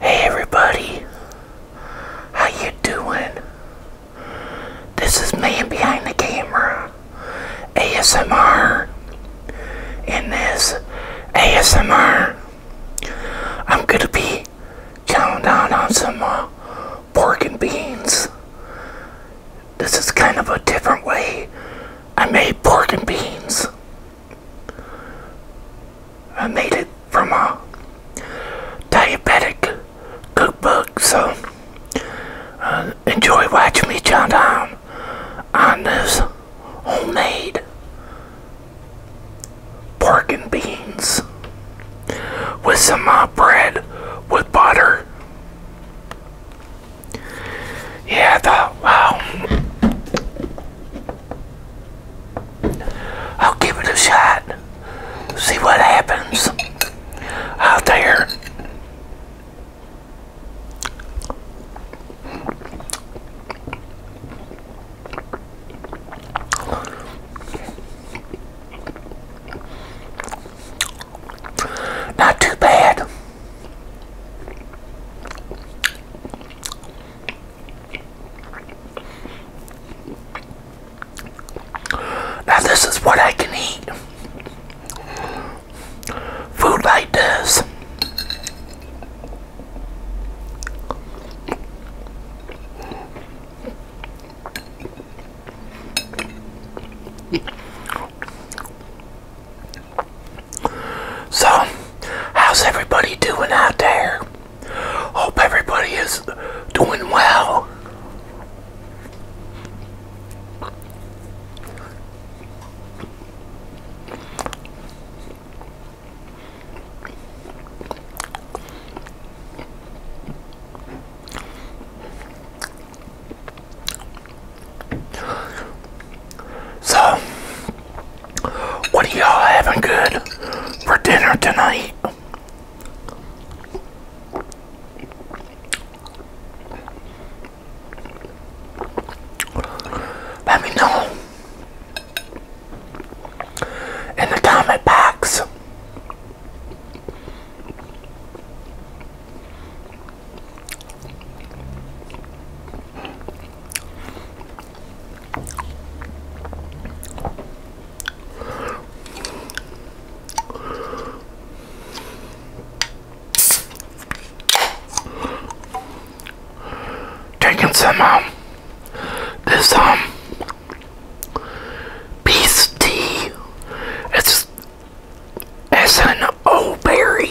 Hey everybody, how you doing? This is Man Behind the Camera, ASMR, In this ASMR, I'm going to be counting down on some uh, pork and beans. This is kind of a different way I made pork and beans. I made it from a diabetic cookbook, so uh, enjoy watching me chow down on this homemade pork and beans with some uh, bread with butter. Yeah, I thought, wow. I'll give it a shot. See what happens out there. Not too bad. Now, this is what I can eat. Food like this. So, how's everybody doing out there? Hope everybody is doing well. So, what are y'all having good for dinner tonight? Let me know in the comment box. Drinking some um this um piece tea. It's it's an old berry.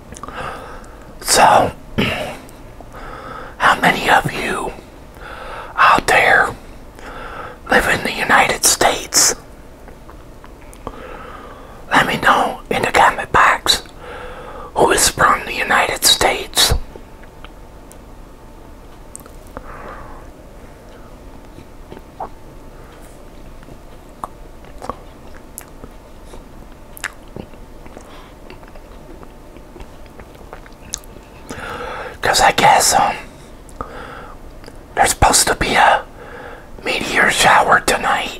So, how many of you out there live in the United States? Let me know in the comment box who is from the United States. Because I guess um, there's supposed to be a meteor shower tonight.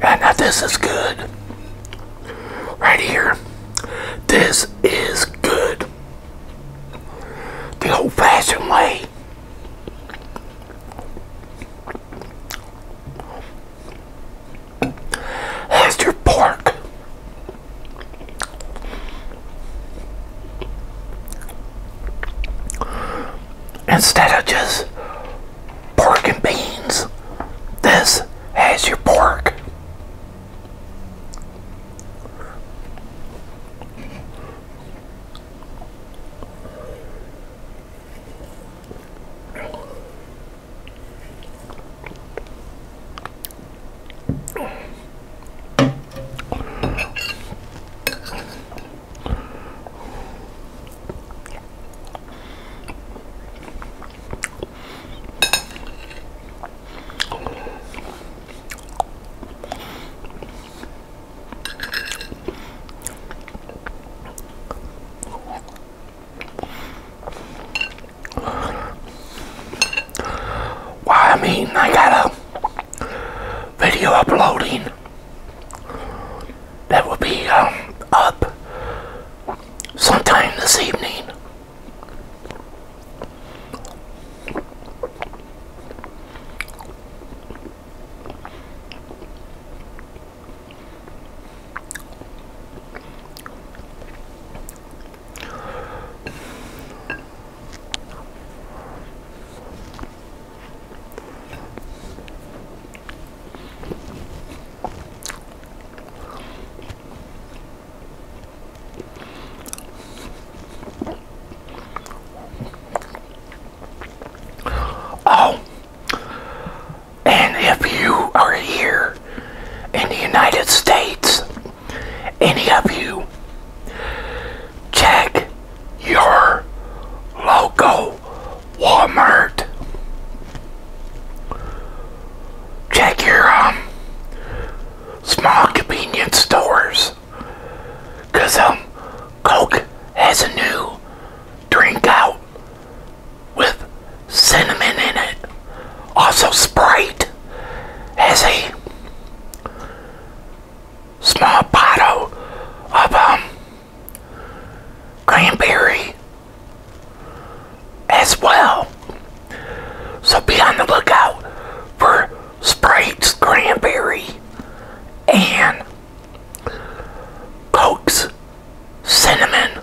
And now this is good. Right here. This is good. The old fashioned way. Has your pork. Instead of just pork and beans. This has your pork. I mean, I got a video uploading that will be um, up sometime this evening. Oh, and if you are here in the United States, any of you, check your logo. Walmart. Check your um, small convenience stores. Because um, Coke has a new drink out with cinnamon in it. Also, Sprite has a small bottle of um, cranberry as well. So be on the lookout for Sprite's cranberry and Coke's cinnamon.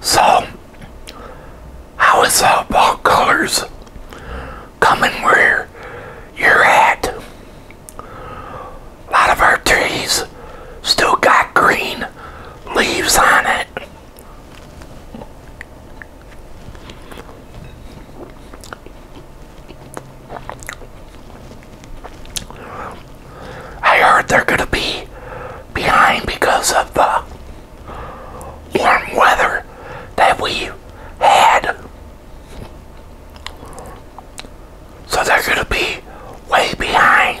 So, how is uh, ball colors coming where you're at? A lot of our trees still got green leaves on it. I heard they're going to be behind because of the warm weather that we had. So they're going to be way behind.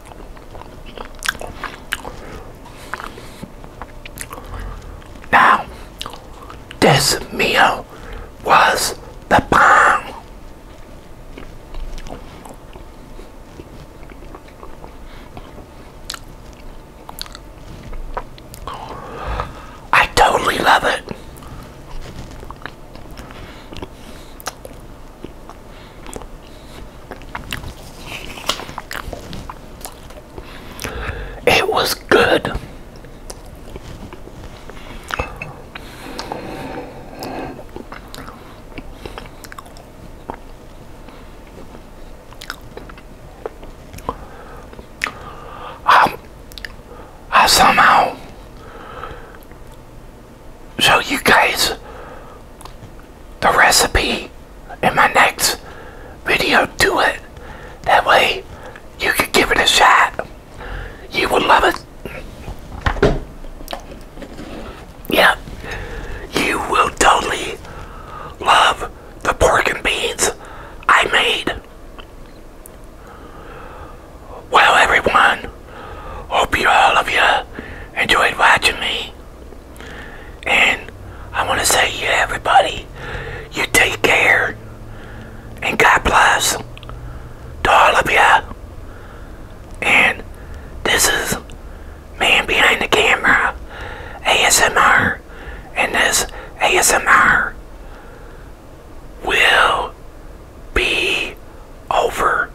Now, this meal was the bomb. I totally love it. It was good. I, um, I somehow show you guys the recipe in my next video Do it. That way you can give it a shot. You will love it. Yeah, you will totally love the pork and beans I made. Well, everyone, hope you all of you enjoyed watching me. And I want to say to everybody, you take care. And God bless to all of you. And this is Man Behind the Camera ASMR. And this ASMR will be over.